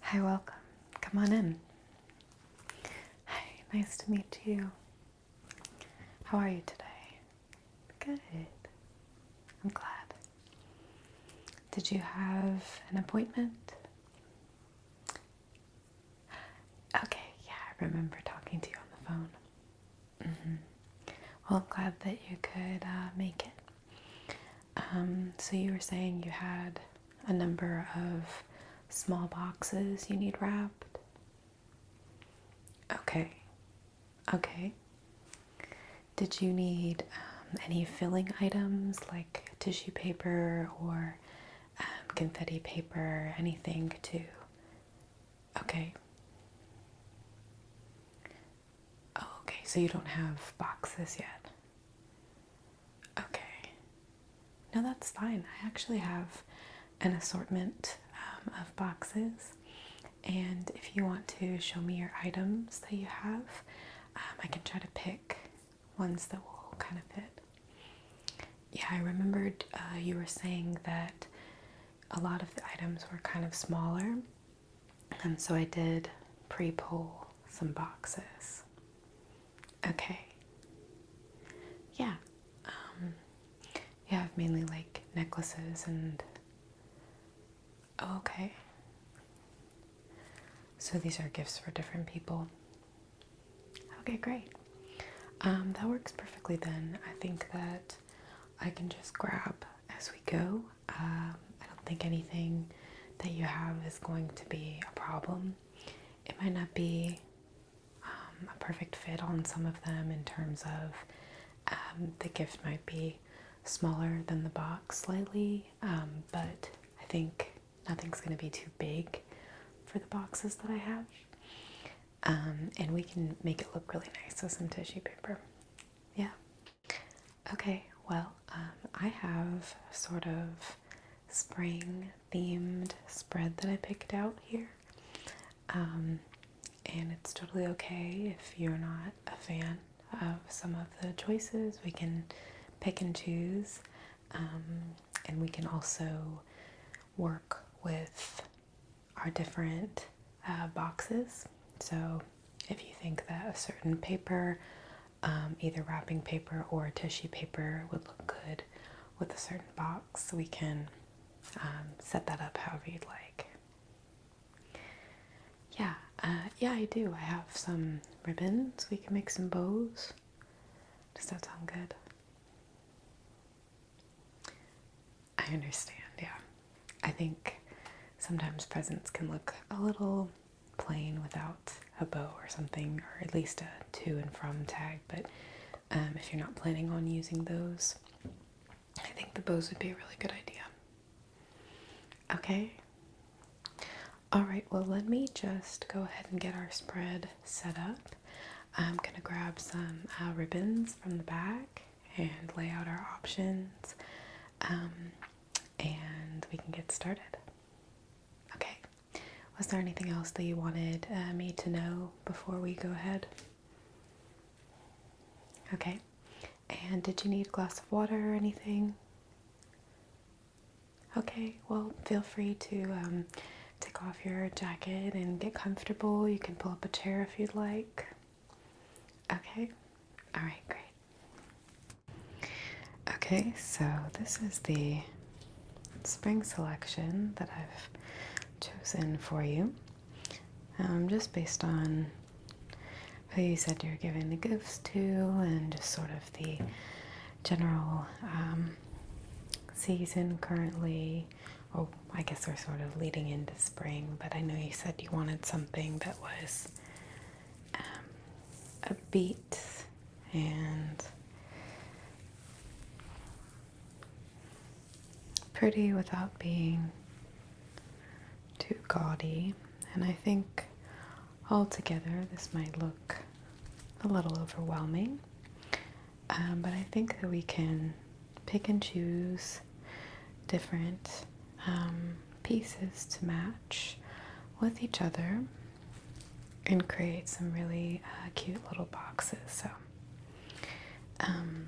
Hi, welcome. Come on in. Hi, nice to meet you. How are you today? Good. I'm glad. Did you have an appointment? Okay, yeah, I remember talking to you on the phone. Mm-hmm. Well, I'm glad that you could uh, make it. Um, so you were saying you had a number of small boxes you need wrapped. Okay. Okay. Did you need um, any filling items like tissue paper or um, confetti paper, anything to? Okay. Oh, okay, so you don't have boxes yet. Okay. No, that's fine. I actually have an assortment um, of boxes, and if you want to show me your items that you have, um, I can try to pick ones that will kind of fit. Yeah, I remembered uh, you were saying that a lot of the items were kind of smaller and so I did pre pull some boxes. Okay. Yeah. Um, yeah, mainly like necklaces and. Oh, okay. So these are gifts for different people. Okay, great. Um, that works perfectly then. I think that I can just grab as we go um, I don't think anything that you have is going to be a problem. It might not be um, a perfect fit on some of them in terms of um, the gift might be smaller than the box slightly, but I think nothing's going to be too big for the boxes that I have. and we can make it look really nice with some tissue paper. Yeah. Okay, well, um, I have sort of spring themed spread that I picked out here. Um, and it's totally okay if you're not a fan of some of the choices. We can pick and choose, um, and we can also work with our different uh, boxes. So, if you think that a certain paper um, either wrapping paper or tissue paper would look good with a certain box. We can um, set that up however you'd like. Yeah, uh, yeah, I do. I have some ribbons. We can make some bows. Does that sound good? I understand, yeah. I think sometimes presents can look a little plane without a bow or something, or at least a to and from tag. But um, if you're not planning on using those, I think the bows would be a really good idea. Okay. All right, well, let me just go ahead and get our spread set up. I'm going to grab some uh, ribbons from the back and lay out our options, um, and we can get started. Okay, was there anything else that you wanted uh, me to know before we go ahead? Okay, and did you need a glass of water or anything? Okay, well, feel free to um, take off your jacket and get comfortable. You can pull up a chair if you'd like. Okay, all right, great. Okay, so this is the spring selection that I've chosen for you. Um, just based on who you said you're giving the gifts to, and just sort of the general um, season currently. Oh, I guess we're sort of leading into spring, but I know you said you wanted something that was a um, upbeat and pretty without being too gaudy. And I think altogether this might look a little overwhelming, um, but I think that we can pick and choose different um, pieces to match with each other and create some really uh, cute little boxes. So, um,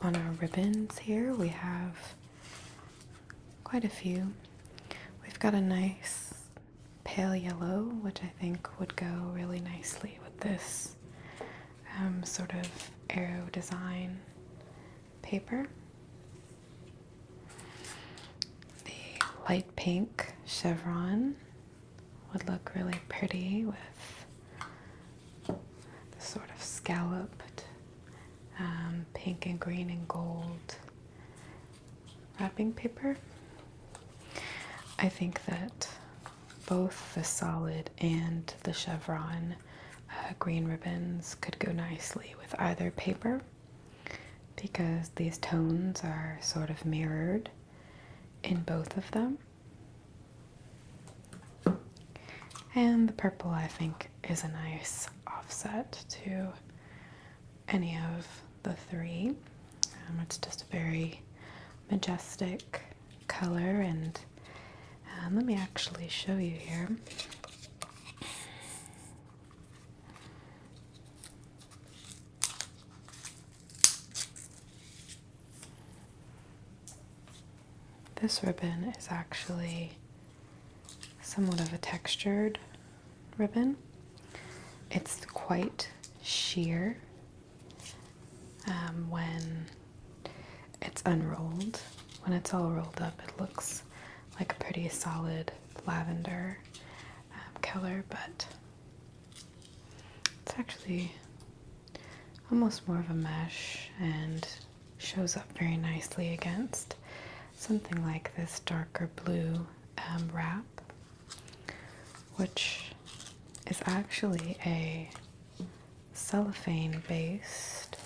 on our ribbons here, we have quite a few. We've got a nice pale yellow, which I think would go really nicely with this um, sort of arrow design paper. The light pink chevron would look really pretty with the sort of scalloped um, pink and green and gold wrapping paper. I think that both the solid and the chevron uh, green ribbons could go nicely with either paper because these tones are sort of mirrored in both of them. And the purple, I think, is a nice offset to any of the three. Um, it's just a very majestic color, and um, let me actually show you here. This ribbon is actually somewhat of a textured ribbon. It's quite sheer um, when it's unrolled. When it's all rolled up, it looks like a pretty solid lavender um, color, but it's actually almost more of a mesh and shows up very nicely against something like this darker blue um, wrap, which is actually a cellophane based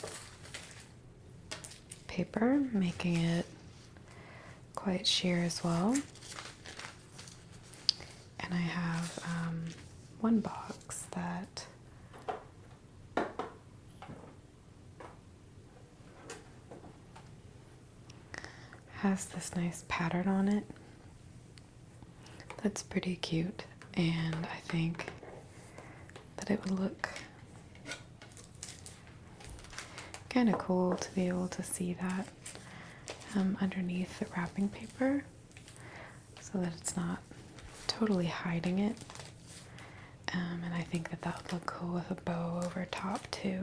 paper, making it quite sheer as well. And I have um, one box that has this nice pattern on it that's pretty cute, and I think that it would look Kind of cool to be able to see that um, underneath the wrapping paper so that it's not totally hiding it. Um, and I think that that would look cool with a bow over top too.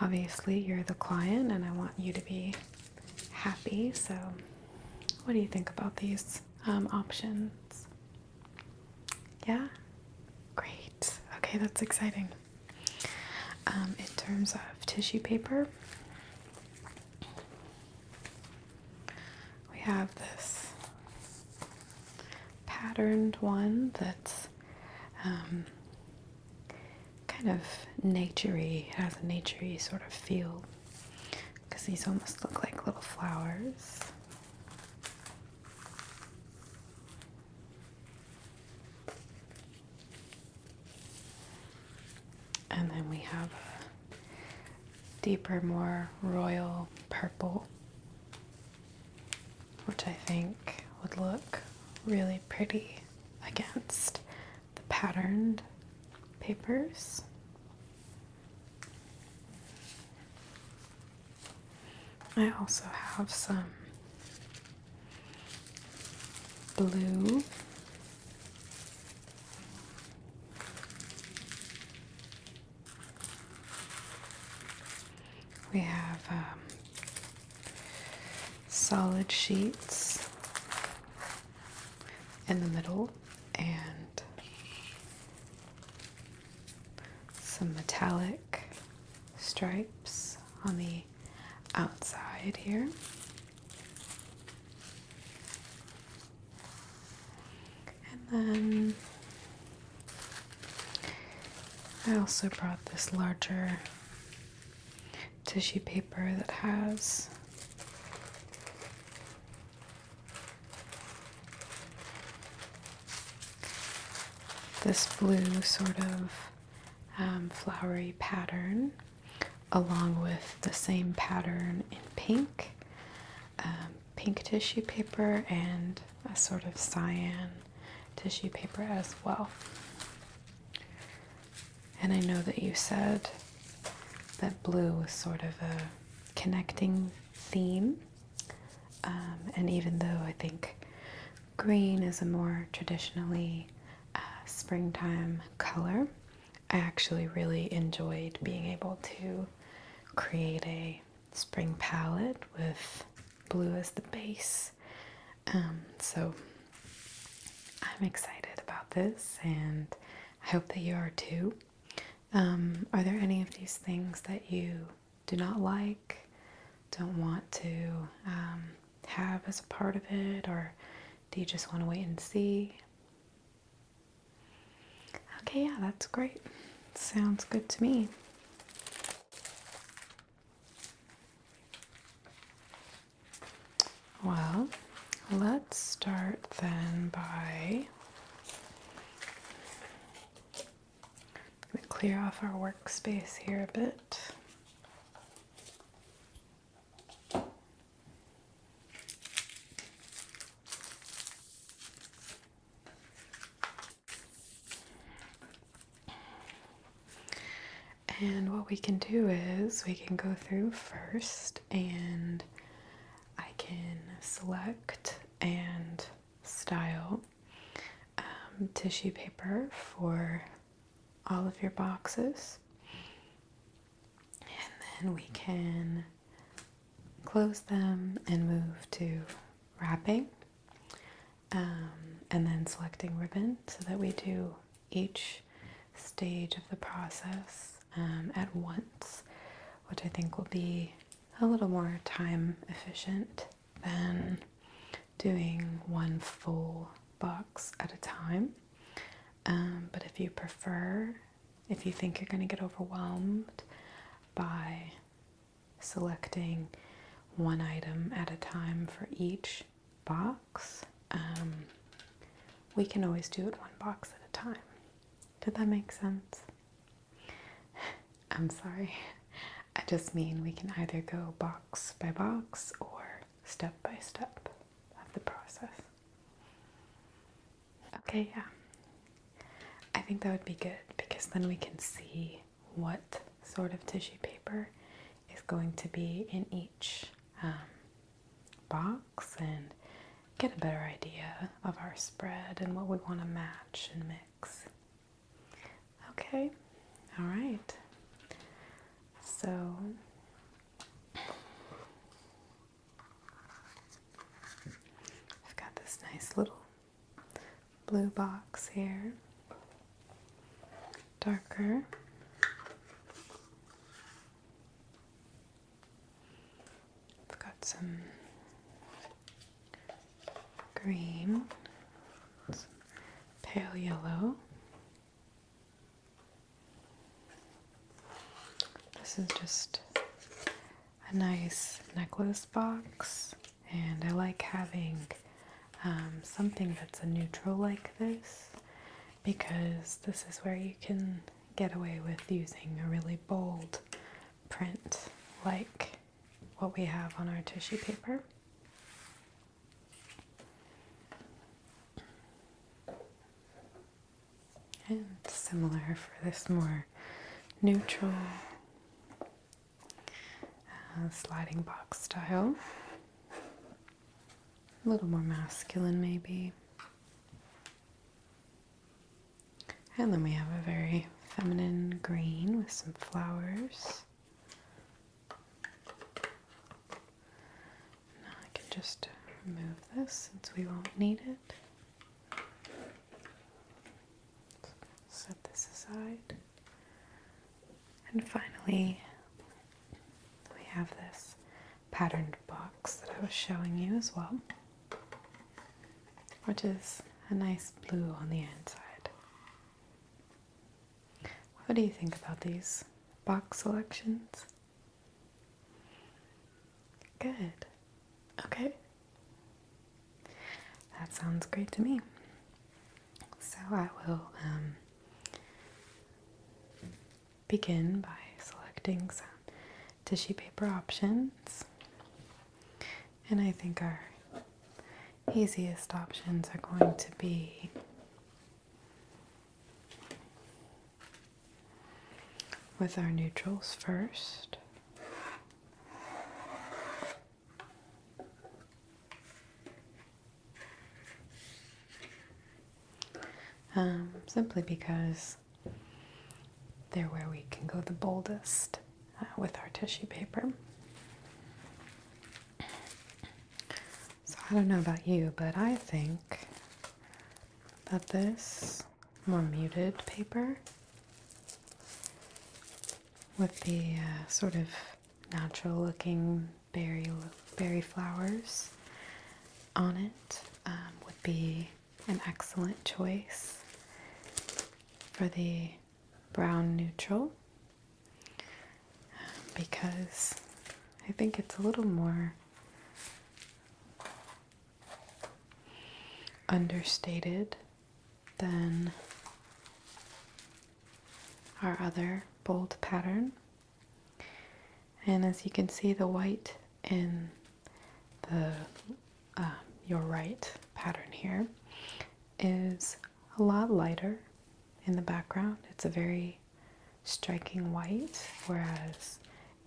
Obviously, you're the client and I want you to be happy, so what do you think about these um, options? Yeah? Great. Okay, that's exciting. Um, in terms of tissue paper, we have this patterned one that's um, kind of naturey, has a naturey sort of feel because these almost look like little flowers. And then we have a deeper, more royal purple, which I think would look really pretty against the patterned papers. I also have some blue. We have um, solid sheets in the middle and some metallic stripes on the outside here. And then I also brought this larger tissue paper that has this blue sort of um, flowery pattern along with the same pattern in pink, um, pink tissue paper and a sort of cyan tissue paper as well. And I know that you said that blue was sort of a connecting theme um, and even though I think green is a more traditionally uh, springtime color, I actually really enjoyed being able to create a spring palette with blue as the base. Um, so I'm excited about this and I hope that you are too. Um, are there any of these things that you do not like, don't want to um, have as a part of it, or do you just want to wait and see? Okay, yeah, that's great. Sounds good to me. Well, let's start then by I'm clear off our workspace here a bit. And what we can do is we can go through first and I can select and style um, tissue paper for all of your boxes. And then we can close them and move to wrapping um, and then selecting ribbon so that we do each stage of the process um, at once, which I think will be a little more time efficient than doing one full box at a time. Um, but if you prefer, if you think you're going to get overwhelmed by selecting one item at a time for each box, um, we can always do it one box at a time. Did that make sense? I'm sorry. I just mean we can either go box by box or step by step of the process. Okay, yeah. I think that would be good because then we can see what sort of tissue paper is going to be in each um, box and get a better idea of our spread and what we want to match and mix. Okay, all right. So I've got this nice little blue box here, darker. I've got some green, pale yellow. This is just a nice necklace box, and I like having um, something that's a neutral like this because this is where you can get away with using a really bold print like what we have on our tissue paper. And similar for this more neutral uh, sliding box style. A little more masculine, maybe. And then we have a very feminine green with some flowers. Now I can just remove this since we won't need it. Set this aside. And finally, we have this patterned box that I was showing you as well which is a nice blue on the inside. What do you think about these box selections? Good. Okay. That sounds great to me. So I will um, begin by selecting some tissue paper options. And I think our easiest options are going to be with our neutrals first. Um, simply because they're where we can go the boldest uh, with our tissue paper. So, I don't know about you, but I think that this more muted paper with the uh, sort of natural looking berry, berry flowers on it um, would be an excellent choice for the brown neutral because I think it's a little more understated than our other bold pattern. And as you can see, the white in the um, your right pattern here is a lot lighter in the background. It's a very striking white, whereas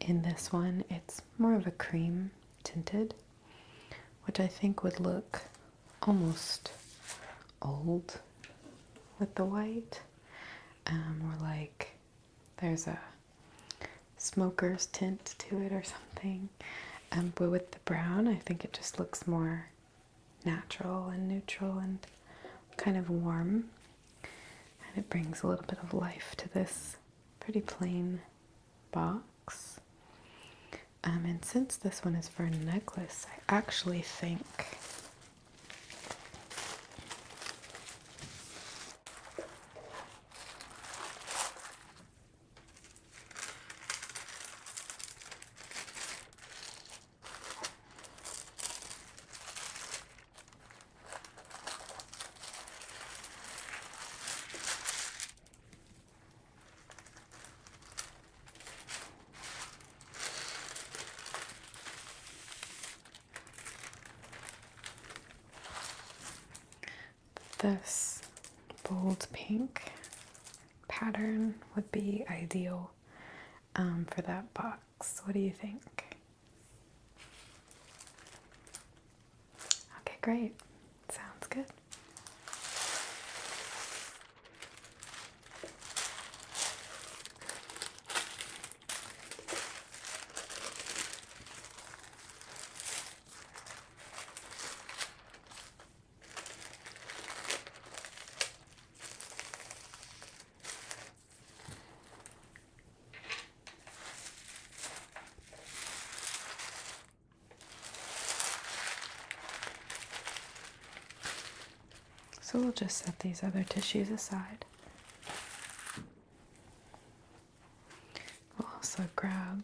in this one it's more of a cream tinted, which I think would look almost old with the white. Um, or like there's a smoker's tint to it or something. Um, with brown. I think it just looks more natural and neutral and kind of warm. And it brings a little bit of life to this pretty plain box. Um, and since this one is for a necklace, I actually think this bold pink pattern would be ideal um, for that box. What do you think? Okay, great. Sounds good. So we'll just set these other tissues aside. We'll also grab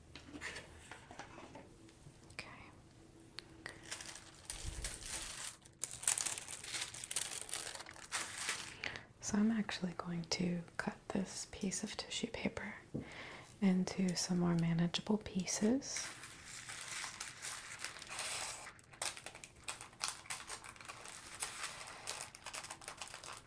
So I'm actually going to cut this piece of tissue paper into some more manageable pieces.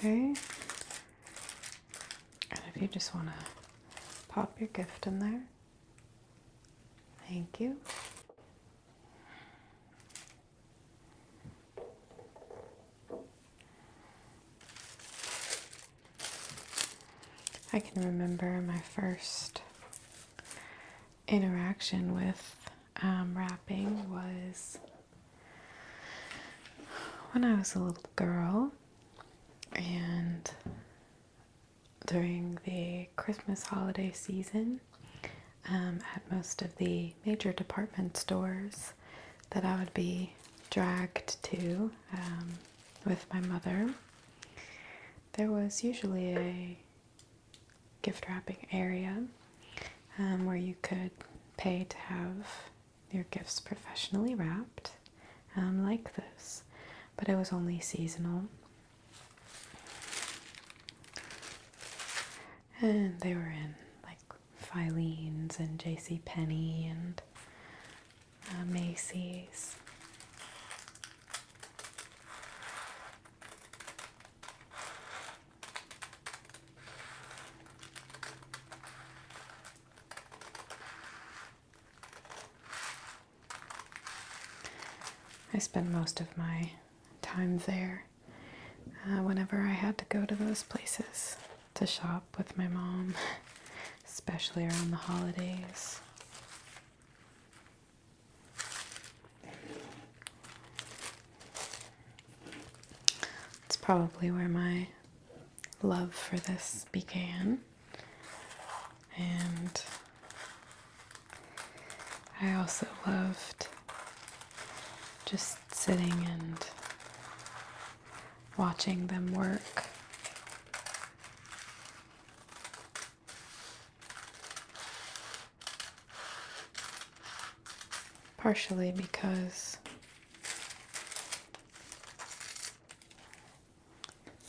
Okay. And if you just want to pop your gift in there, thank you. I can remember my first interaction with wrapping um, was when I was a little girl, and during the Christmas holiday season, um, at most of the major department stores that I would be dragged to um, with my mother, there was usually a gift wrapping area um, where you could pay to have your gifts professionally wrapped, um, like this, but it was only seasonal. And they were in like Filene's and J.C. Penney and Macy's. I spent most of my time there uh, whenever I had to go to those places to shop with my mom, especially around the holidays. It's probably where my love for this began. And I also loved just sitting and watching them work. Partially because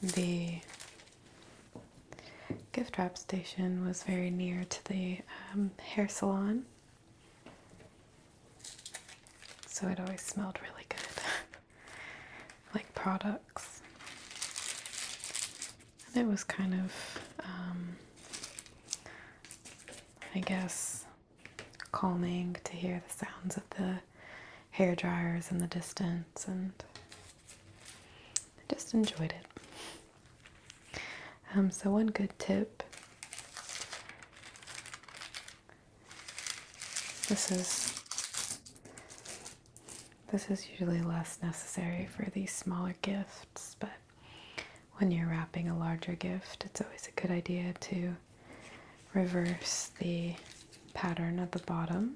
the gift wrap station was very near to the um, hair salon, so it always smelled really good. like products. And it was kind of, um, I guess, calming to hear the sounds of the hair dryers in the distance, and I just enjoyed it. Um, so, one good tip. This is this is usually less necessary for these smaller gifts, but when you're wrapping a larger gift, it's always a good idea to reverse the pattern at the bottom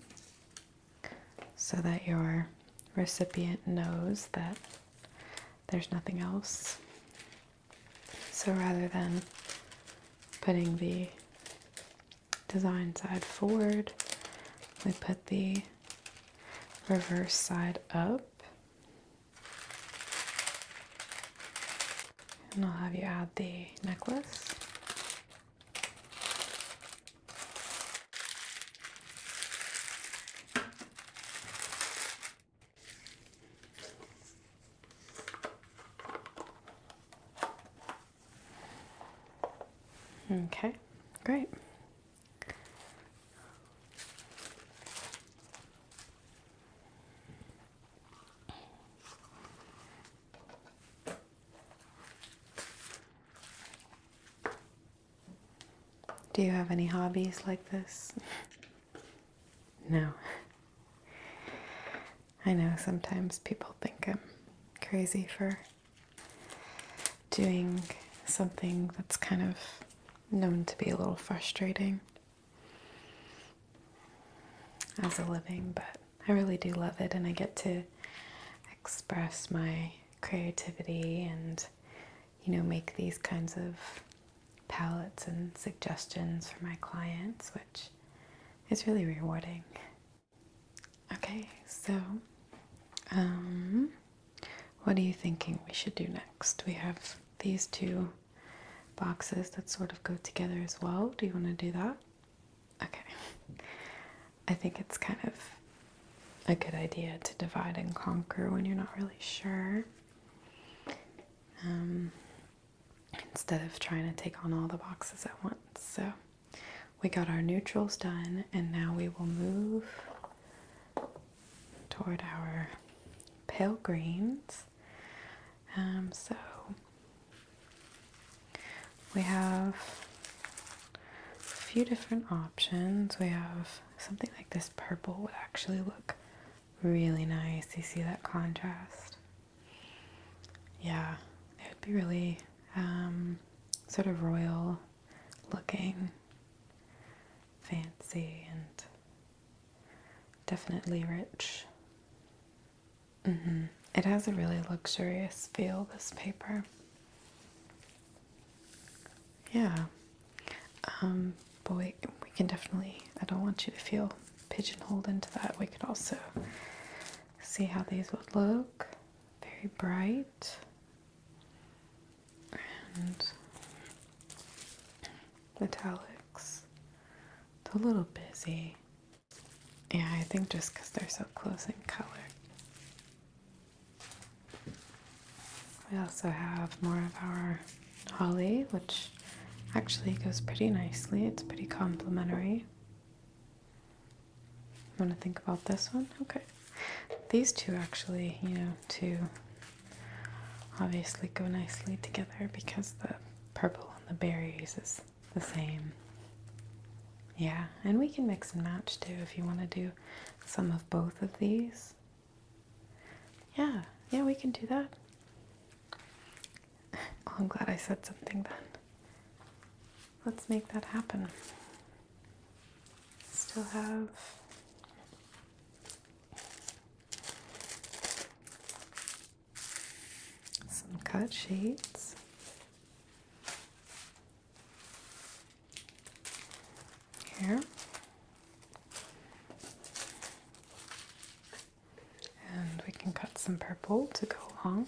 so that your recipient knows that there's nothing else. So rather than putting the design side forward. We put the reverse side up. And I'll have you add the necklace. Okay, great. Do you have any hobbies like this? no. I know sometimes people think I'm crazy for doing something that's kind of known to be a little frustrating as a living, but I really do love it, and I get to express my creativity and you know make these kinds of palettes and suggestions for my clients, which is really rewarding. Okay, so um, what are you thinking we should do next? We have these two boxes that sort of go together as well. Do you want to do that? Okay. I think it's kind of a good idea to divide and conquer when you're not really sure. Um, instead of trying to take on all the boxes at once. So we got our neutrals done and now we will move toward our pale greens um, so we have a few different options we have something like this purple would actually look really nice you see that contrast yeah it would be really um, sort of royal looking, fancy, and definitely rich. Mm-hmm. It has a really luxurious feel, this paper. Yeah. Um, but we, we can definitely, I don't want you to feel pigeonholed into that. We could also see how these would look very bright and metallics. a little busy. Yeah, I think just because they're so close in color. We also have more of our holly, which actually goes pretty nicely. It's pretty complementary. Want to think about this one? Okay. These two actually, you know, two obviously go nicely together because the purple and the berries is the same. Yeah, and we can mix and match too if you want to do some of both of these. Yeah, yeah, we can do that. Oh, I'm glad I said something then. Let's make that happen. Still have some cut shades. Here and we can cut some purple to go along.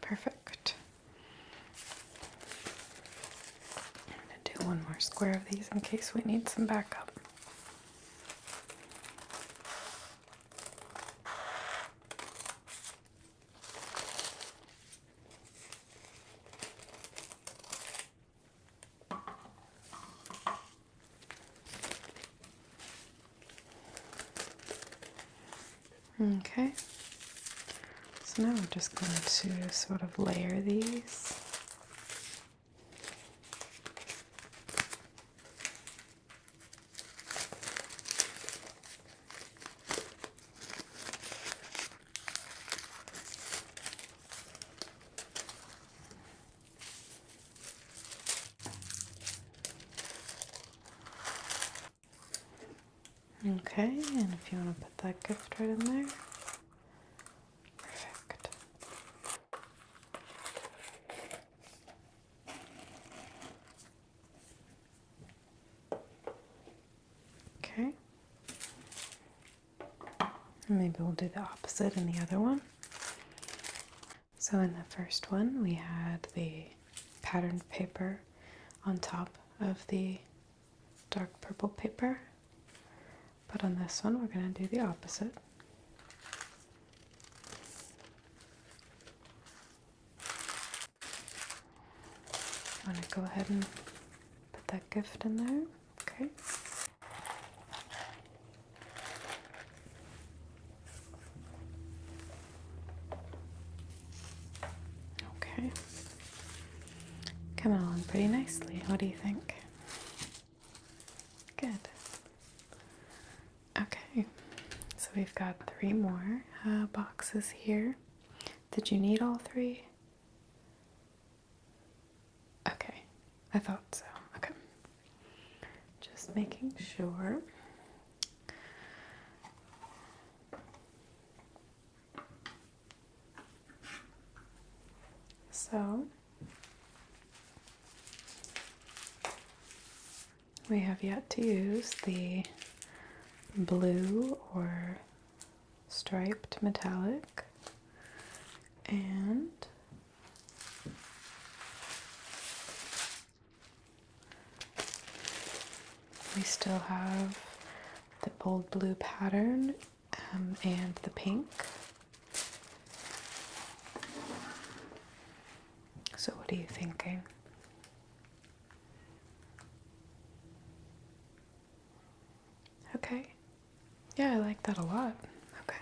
Perfect. I'm going to do one more square of these in case we need some backup. Okay, so now we're just going to sort of layer these. Okay, and if you want to put that gift right in there, perfect. Okay. maybe we'll do the opposite in the other one. So, in the first one, we had the patterned paper on top of the dark purple paper, but on this one, we're going to do the opposite. I'm going to go ahead and put that gift in there. Okay. Okay. Coming along pretty nicely. What do you think? Good. Okay, so we've got three more uh, boxes here. Did you need all three? Okay, I thought so. Okay, just making sure. So we have yet to use the blue or striped metallic and we still have the bold blue pattern um, and the pink. So, what are you thinking? Okay. Yeah, I like that a lot. Okay.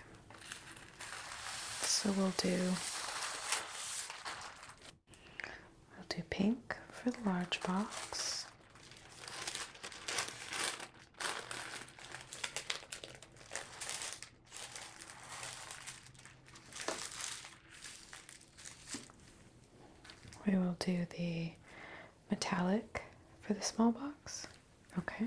So we'll do we'll do pink for the large box. We will do the metallic for the small box. Okay.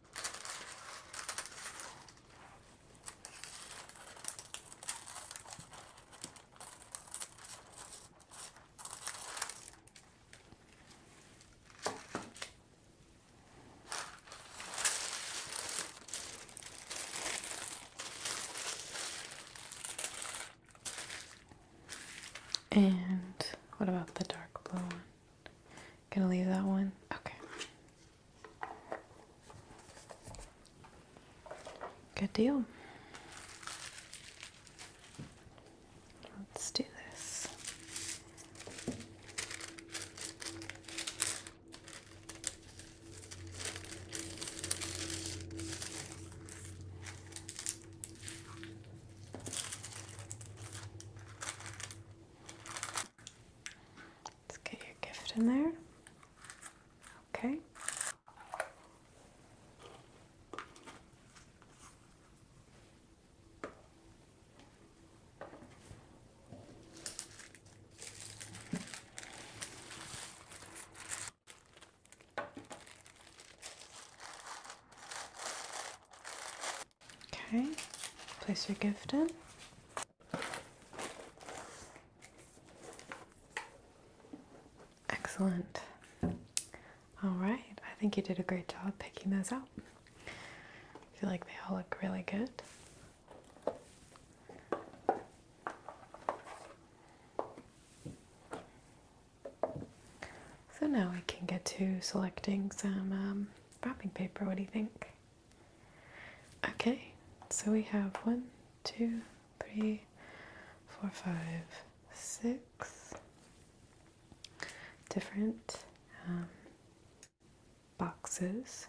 And what about the dark blue one? Gonna leave that one? Okay. Good deal. Let's do this. Let's get your gift in there. Okay. Okay, place your gift in. Excellent. All right, I think you did a great job picking those out. I feel like they all look really good. So now we can get to selecting some um, wrapping paper. What do you think? Okay, so we have one, two, three, four, five, six different um, boxes,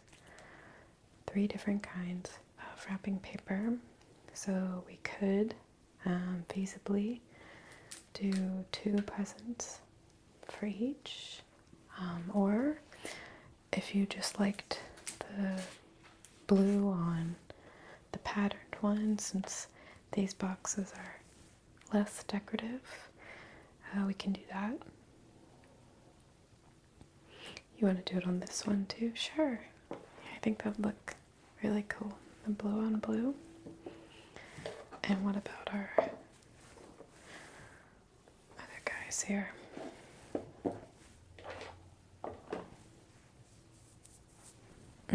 three different kinds of wrapping paper. So we could um, feasibly do two presents for each, um, or if you just liked the blue on the patterned one, since these boxes are less decorative, uh, we can do that. You want to do it on this one too? Sure. I think that would look really cool. The blue on blue. And what about our other guys here.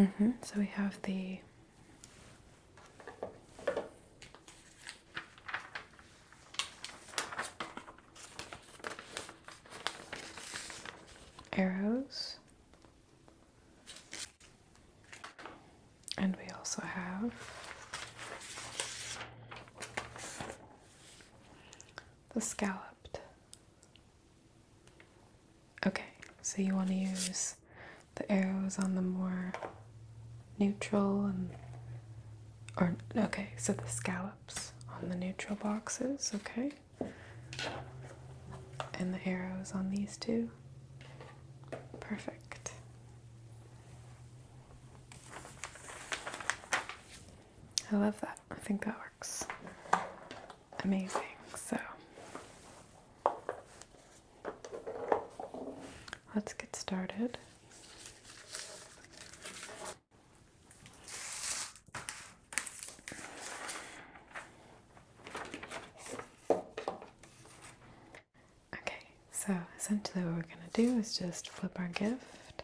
Mm -hmm. So we have the arrows, and we also have the scalloped. Okay, so you want to use the arrows on the more neutral and or okay, so the scallops on the neutral boxes, okay? And the arrows on these two. Perfect. I love that. I think that works amazing. So let's get started. Okay, so essentially what we're going to do is just flip our gift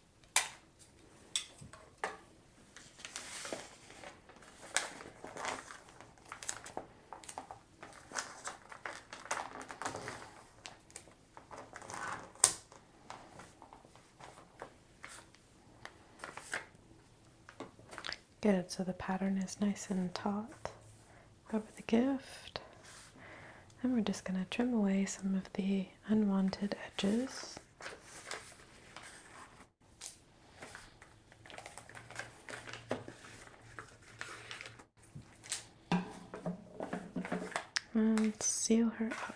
Good, so the pattern is nice and taut over the gift. And we're just going to trim away some of the unwanted edges and seal her up.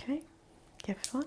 Okay, give it one.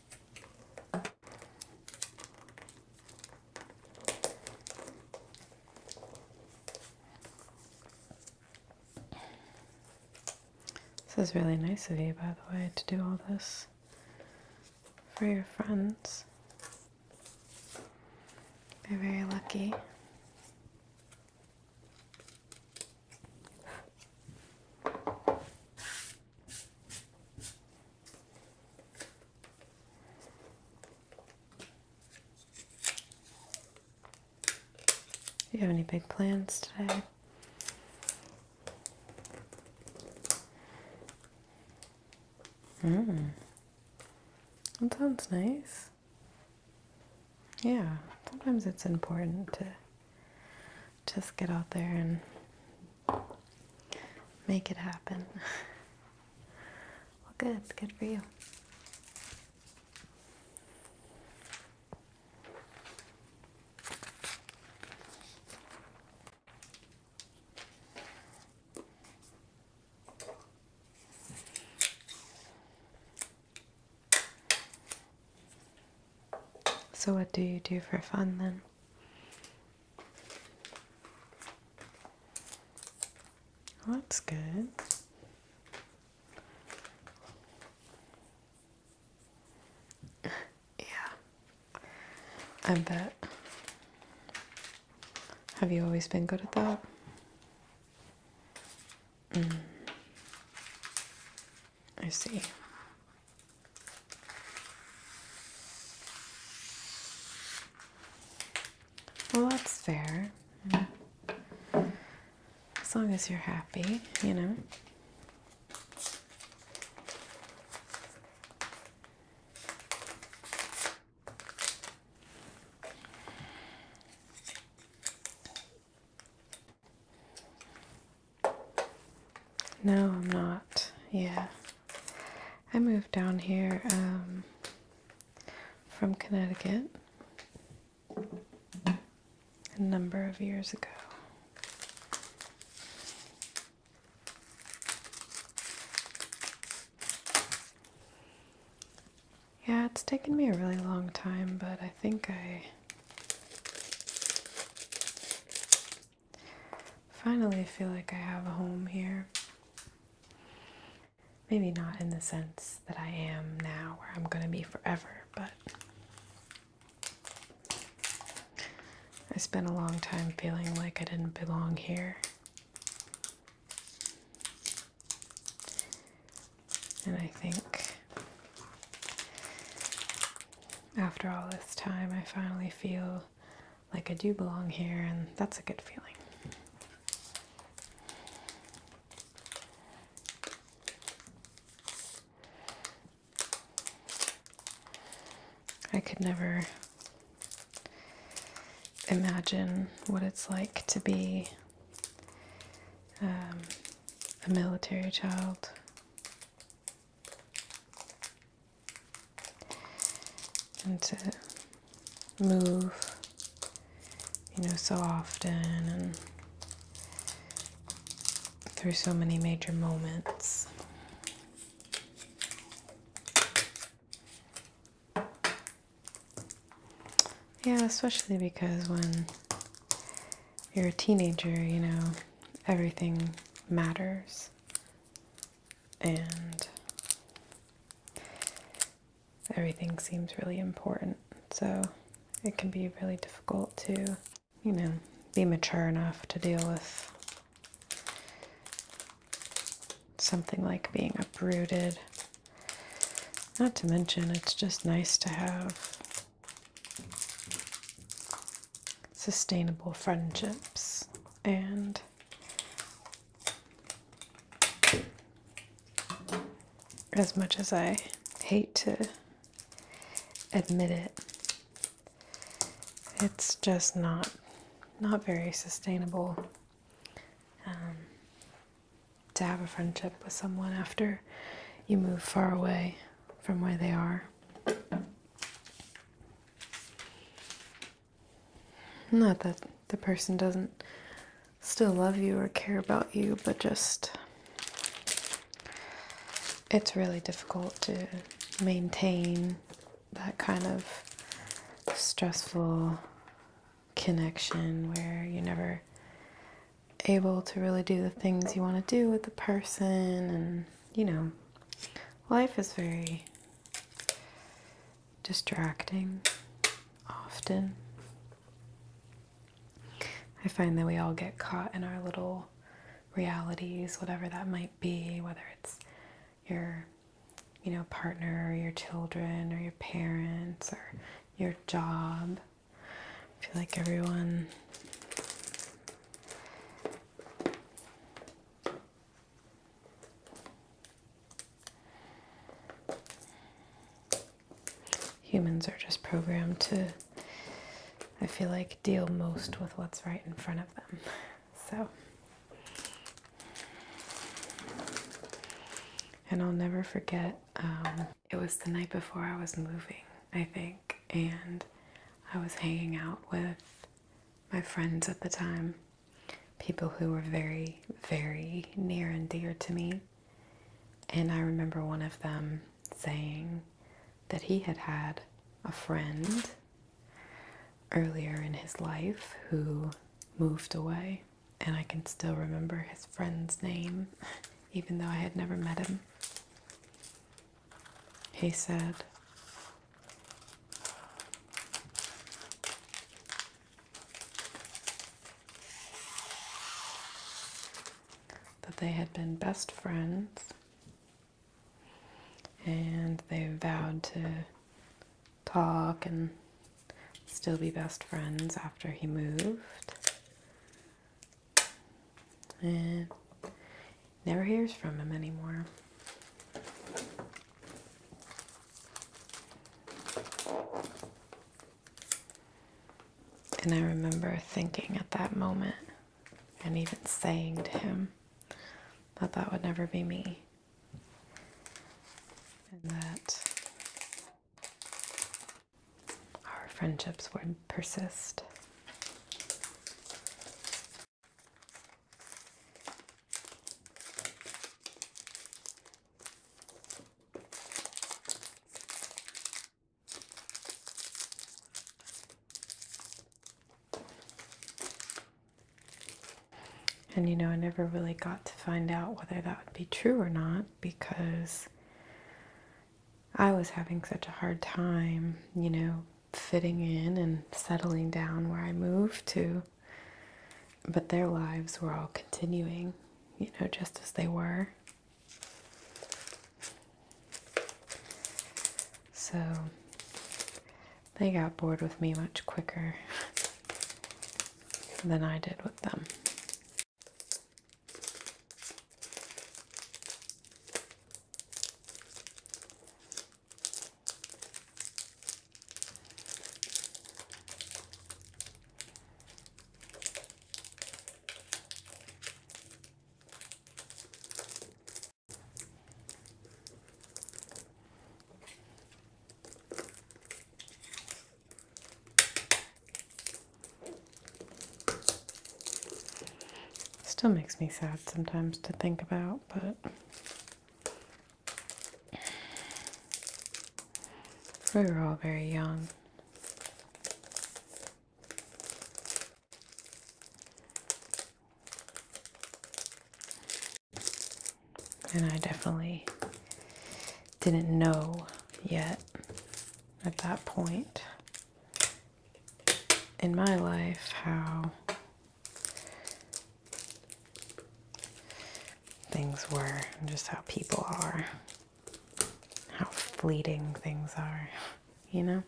This is really nice of you, by the way, to do all this for your friends. you are very lucky. Do you have any big plans today? Mm. That sounds nice. Yeah, sometimes it's important to just get out there and make it happen. well, good, it's good for you. So, what do you do for fun then? Oh, that's good. yeah, I bet. Have you always been good at that? Mm. I see. Well, that's fair. As long as you're happy, you know. No, I'm not. Yeah. I moved down here um, from Connecticut a number of years ago. Yeah, it's taken me a really long time, but I think I Finally, I feel like I have a home here. Maybe not in the sense that I am now, where I'm going to be forever, but I spent a long time feeling like I didn't belong here. And I think after all this time, I finally feel like I do belong here, and that's a good feeling. I could never imagine what it's like to be um, a military child and to move, you know, so often and through so many major moments. Yeah, especially because when you're a teenager, you know, everything matters and everything seems really important. So it can be really difficult to, you know, be mature enough to deal with something like being uprooted. Not to mention, it's just nice to have sustainable friendships and as much as I hate to admit it, it's just not not very sustainable um, to have a friendship with someone after you move far away from where they are. Not that the person doesn't still love you or care about you, but just it's really difficult to maintain that kind of stressful connection where you're never able to really do the things you want to do with the person and you know life is very distracting often. I find that we all get caught in our little realities, whatever that might be, whether it's your you know, partner or your children or your parents or your job. I feel like everyone Humans are just programmed to, I feel like, deal most with what's right in front of them. So, and I'll never forget, um, it was the night before I was moving, I think, and I was hanging out with my friends at the time, people who were very, very near and dear to me. And I remember one of them saying that he had had a friend earlier in his life who moved away. And I can still remember his friend's name, even though I had never met him. He said, that they had been best friends and they vowed to talk and still be best friends after he moved. And never hears from him anymore. And I remember thinking at that moment and even saying to him that that would never be me. And that our friendships would persist. And you know, I never really got to find out whether that would be true or not because I was having such a hard time, you know, fitting in and settling down where I moved to. But their lives were all continuing, you know, just as they were. So they got bored with me much quicker than I did with them. Still makes me sad sometimes to think about, but we were all very young. And I definitely didn't know yet at that point in my life how things were, just how people are, how fleeting things are, you know?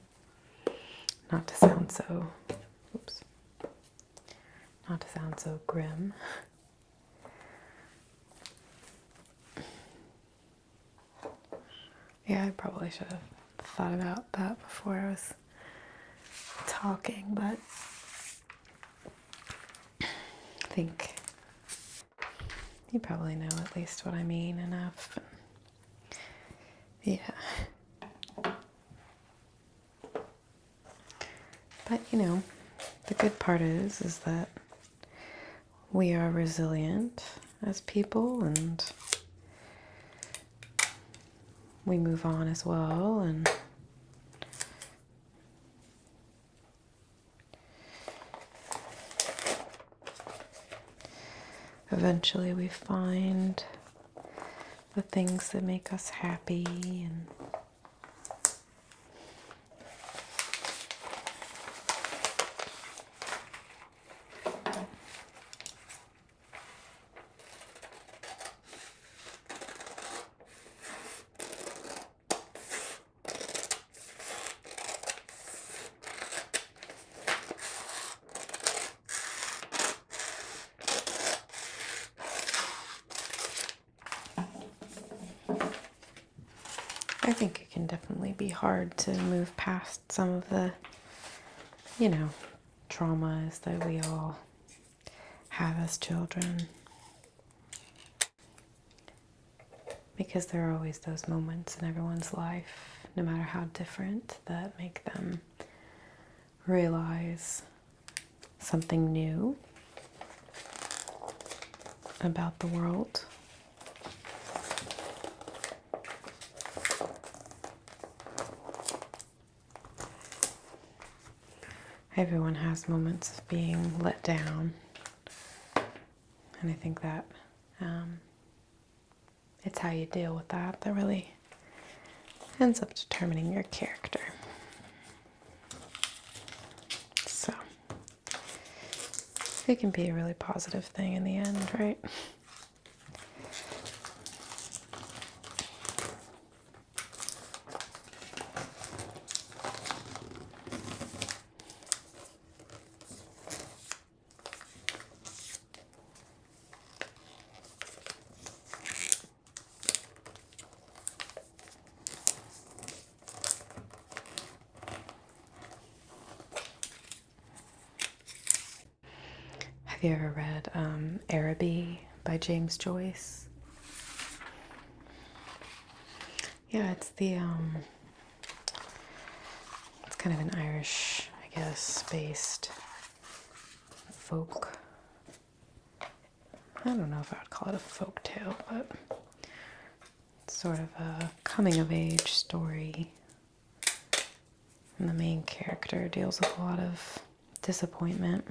Not to sound so, oops, not to sound so grim. Yeah, I probably should have thought about that before I was talking, but I think you probably know at least what I mean enough. Yeah. But you know, the good part is is that we are resilient as people and we move on as well and eventually we find the things that make us happy and I think it can definitely be hard to move past some of the, you know, traumas that we all have as children. Because there are always those moments in everyone's life, no matter how different, that make them realize something new about the world. Everyone has moments of being let down, and I think that um, it's how you deal with that that really ends up determining your character. So, it can be a really positive thing in the end, right? Have you ever read um, Araby by James Joyce. Yeah, it's the um, it's kind of an Irish, I guess, based folk. I don't know if I would call it a folk tale, but it's sort of a coming of age story. And the main character deals with a lot of disappointment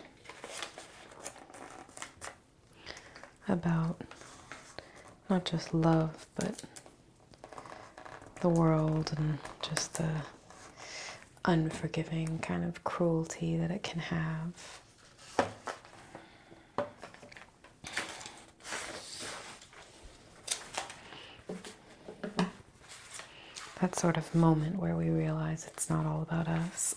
about not just love, but the world and just the unforgiving kind of cruelty that it can have that sort of moment where we realize it's not all about us.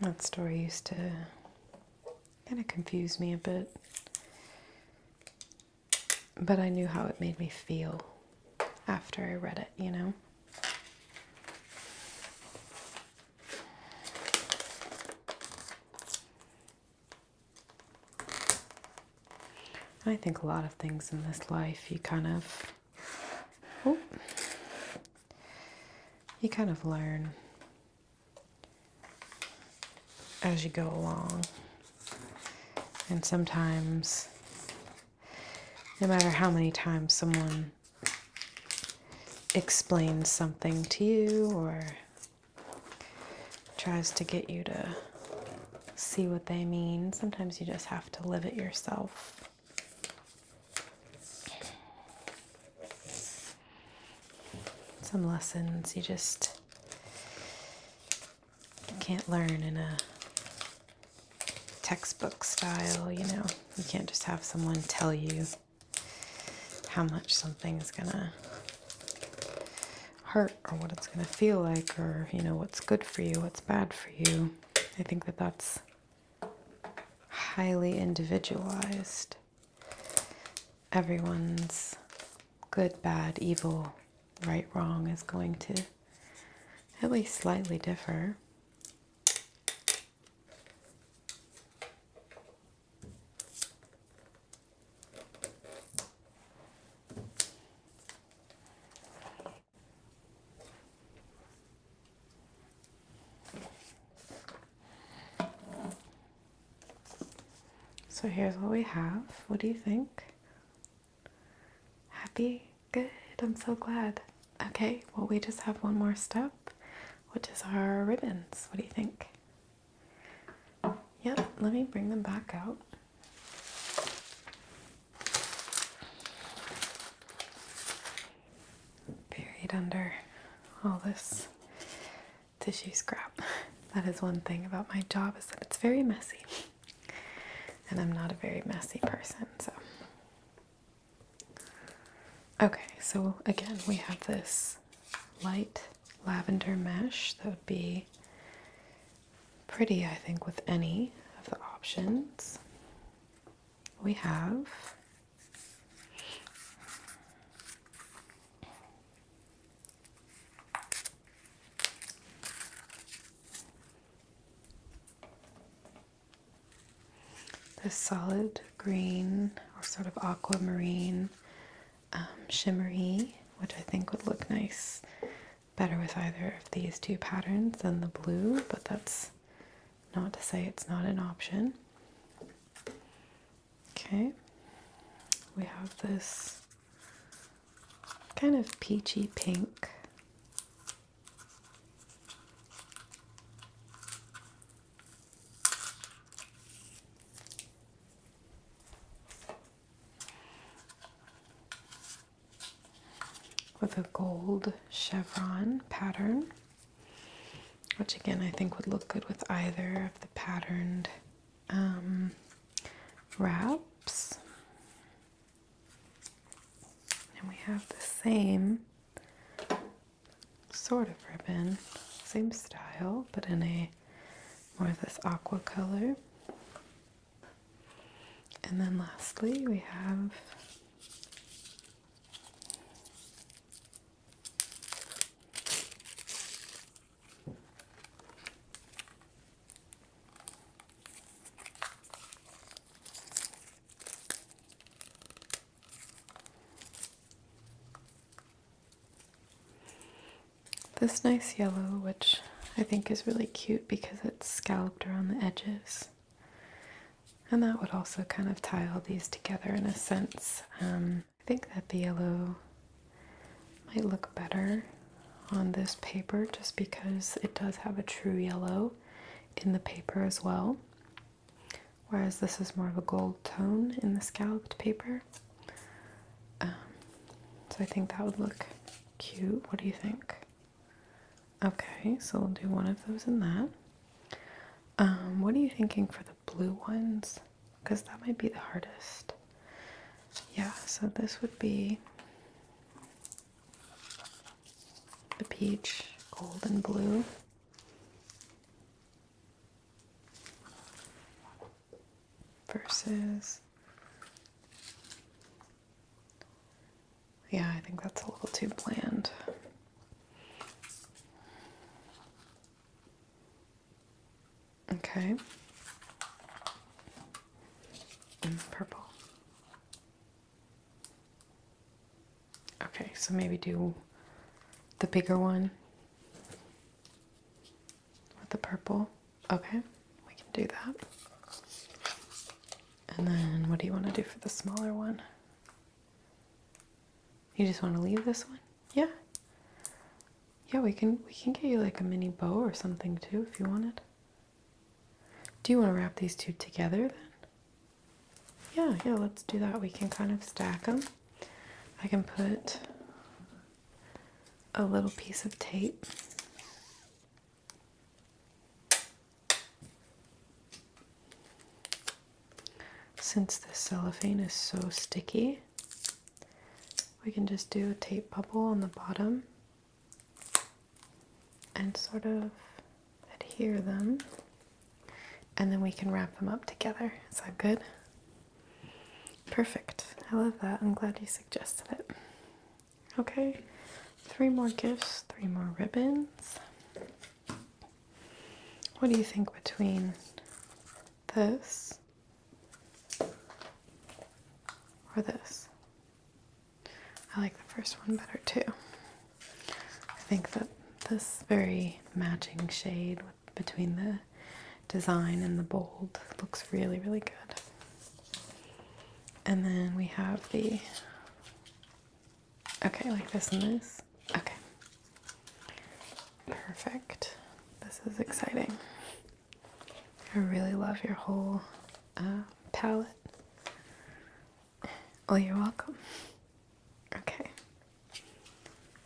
That story used to kind of confuse me a bit but I knew how it made me feel after I read it, you know? I think a lot of things in this life you kind of oh, you kind of learn as you go along and sometimes, no matter how many times someone explains something to you or tries to get you to see what they mean, sometimes you just have to live it yourself. Some lessons you just you can't learn in a textbook style, you know. You can't just have someone tell you how much something's gonna hurt or what it's gonna feel like or, you know, what's good for you, what's bad for you. I think that that's highly individualized. Everyone's good, bad, evil right wrong is going to at least slightly differ. So here's what we have. What do you think? Happy? Good, I'm so glad. Okay, well, we just have one more step, which is our ribbons. What do you think? Yep, let me bring them back out. Buried under all this tissue scrap. That is one thing about my job is that it's very messy. And I'm not a very messy person, so. Okay, so again, we have this light lavender mesh that would be pretty, I think, with any of the options. We have the solid green or sort of aquamarine um, shimmery, which I think would look nice better with either of these two patterns than the blue, but that's not to say it's not an option. Okay, we have this kind of peachy pink. With a gold chevron pattern, which again I think would look good with either of the patterned um, wraps. And we have the same sort of ribbon, same style, but in a more of this aqua color. And then lastly, we have this nice yellow, which I think is really cute because it's scalloped around the edges. And that would also kind of tie all these together in a sense. Um, I think that the yellow might look better on this paper just because it does have a true yellow in the paper as well. Whereas this is more of a gold tone in the scalloped paper. Um, so I think that would look cute. What do you think? Okay, so we'll do one of those in that. Um, what are you thinking for the blue ones? Because that might be the hardest. Yeah, so this would be the peach, gold and blue. Versus, yeah, I think that's a little too bland. Okay, and purple. Okay, so maybe do the bigger one with the purple. Okay, we can do that. And then what do you want to do for the smaller one? You just want to leave this one? Yeah. Yeah, we can we can get you like a mini bow or something too if you want it. Do you want to wrap these two together then? Yeah, yeah, let's do that. We can kind of stack them. I can put a little piece of tape. Since the cellophane is so sticky, we can just do a tape bubble on the bottom and sort of adhere them and then we can wrap them up together. Is that good? Perfect. I love that. I'm glad you suggested it. Okay, three more gifts, three more ribbons. What do you think between this or this? I like the first one better too. I think that this very matching shade between the design and the bold looks really, really good. And then we have the okay, like this and this. Okay, perfect. This is exciting. I really love your whole uh, palette. Oh, you're welcome. Okay.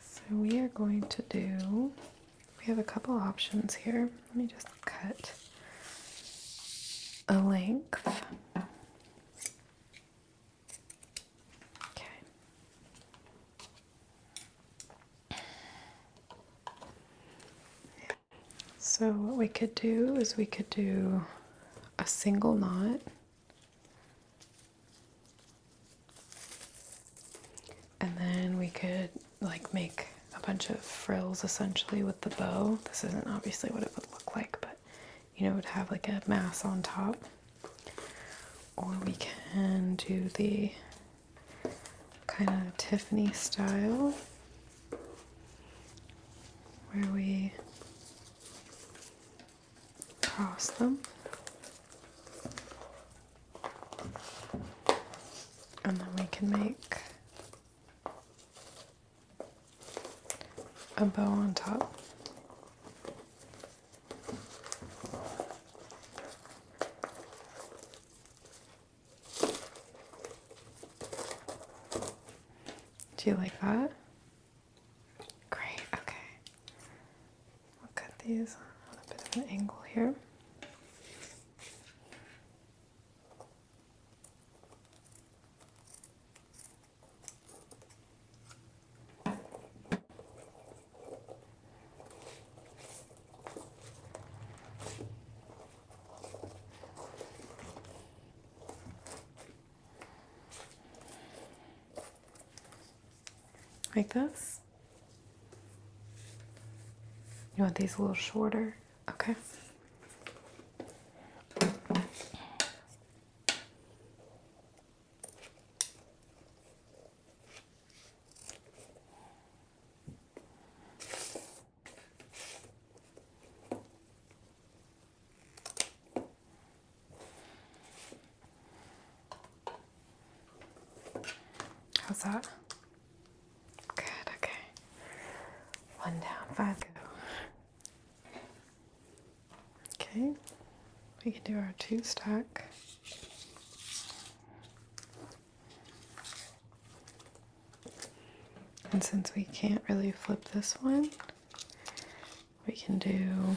So we are going to do, we have a couple options here. Let me just cut a length. Okay. So, what we could do is we could do a single knot and then we could like make a bunch of frills essentially with the bow. This isn't obviously what it would look like, but you know, it would have like a mass on top. Or we can do the kind of Tiffany style where we cross them and then we can make a bow on top. Do you like that? Great, okay. We'll cut these on a bit of an angle here. Like this? You want these a little shorter? Okay. How's that? Good, okay. One down, five go. Okay, we can do our two stack. And since we can't really flip this one, we can do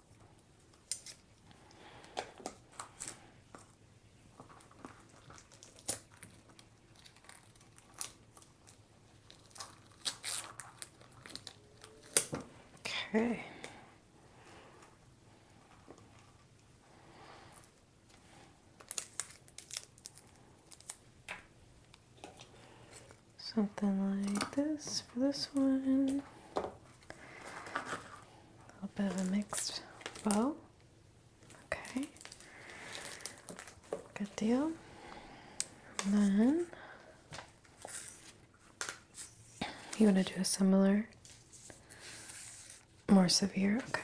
Okay. Something like this for this one. A little bit of a mixed bow. Okay. Good deal. then you want to do a similar, more severe. Okay.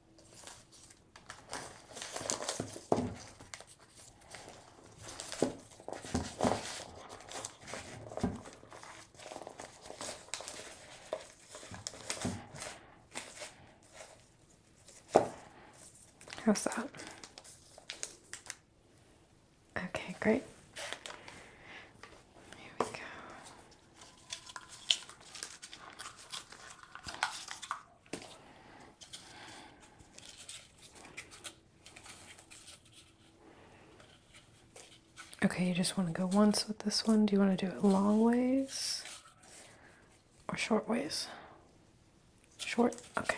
How's that? Okay, great. Here we go. Okay, you just want to go once with this one. Do you want to do it long ways or short ways? Short? Okay.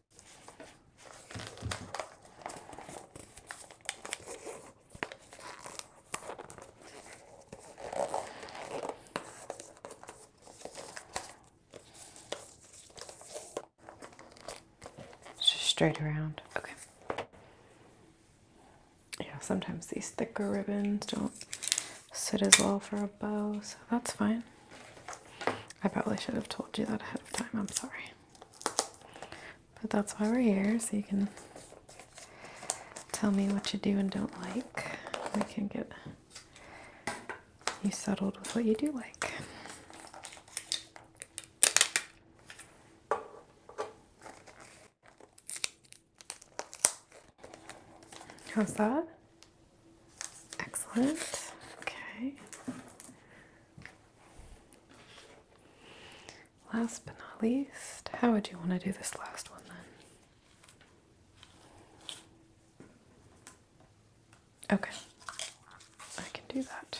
Just straight around. Okay. Yeah, sometimes these thicker ribbons don't sit as well for a bow, so that's fine. I probably should have told you that ahead of time. I'm sorry. But that's why we're here, so you can tell me what you do and don't like. We can get you settled with what you do like. How's that? Excellent. Okay. Last but not least, how would you want to do this last one then? Okay, I can do that.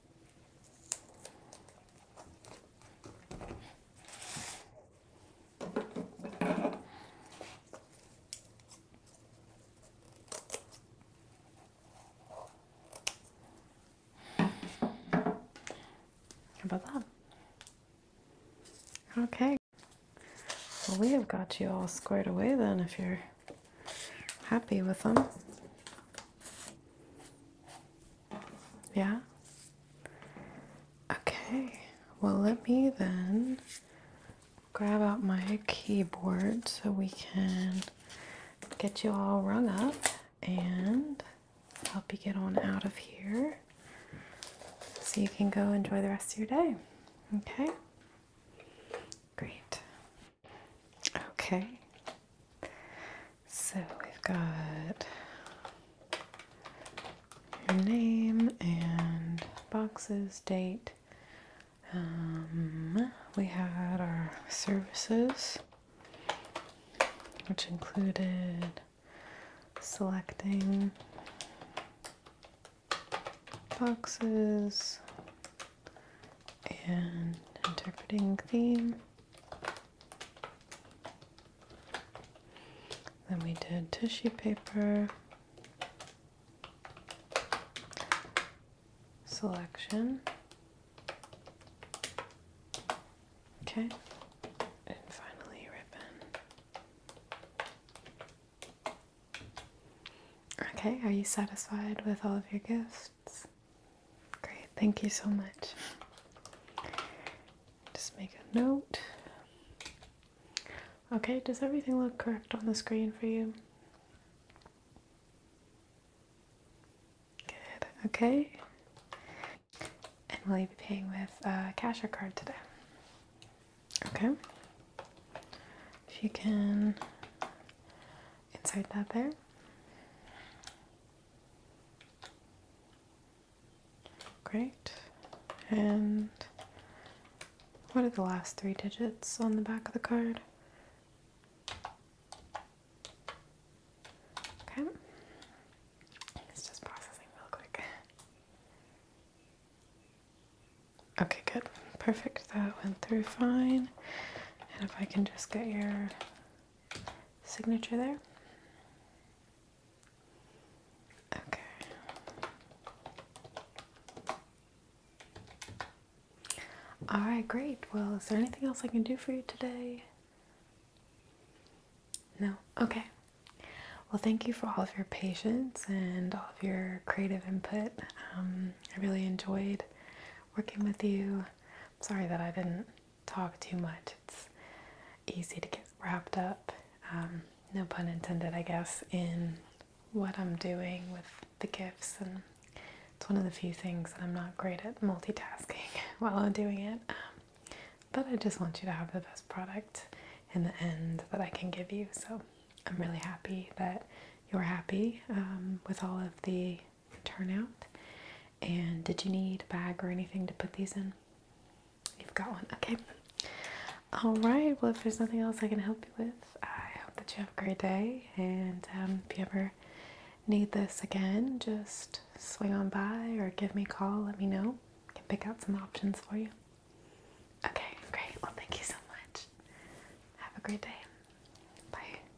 How about that? Okay. Well, we have got you all squared away then if you're happy with them. Yeah? Okay, well, let me then grab out my keyboard so we can get you all rung up and help you get on out of here so you can go enjoy the rest of your day. Okay? Great. Okay. So we've got your name and boxes, date. Um, we had our services, which included selecting boxes, and interpreting theme. Then we did tissue paper, selection, okay, and finally ribbon. Okay, are you satisfied with all of your gifts? Great, thank you so much. Just make a note. Okay, does everything look correct on the screen for you? Good, okay. And will you be paying with a cash or card today? Okay. If you can inside that there. Great. And what are the last three digits on the back of the card? Okay. It's just processing real quick. Okay, good. Perfect. That went through fine. And if I can just get your signature there. Okay. All right, great. Well, is there anything else I can do for you today? No? Okay. Well, thank you for all of your patience and all of your creative input. Um, I really enjoyed working with you sorry that I didn't talk too much. It's easy to get wrapped up, um, no pun intended, I guess, in what I'm doing with the gifts. And it's one of the few things that I'm not great at multitasking while I'm doing it. Um, but I just want you to have the best product in the end that I can give you. So I'm really happy that you're happy um, with all of the turnout. And did you need a bag or anything to put these in? You've got one, okay. All right, well, if there's nothing else I can help you with, I hope that you have a great day. And um, if you ever need this again, just swing on by or give me a call, let me know. I can pick out some options for you. Okay, great. Well, thank you so much. Have a great day. Bye.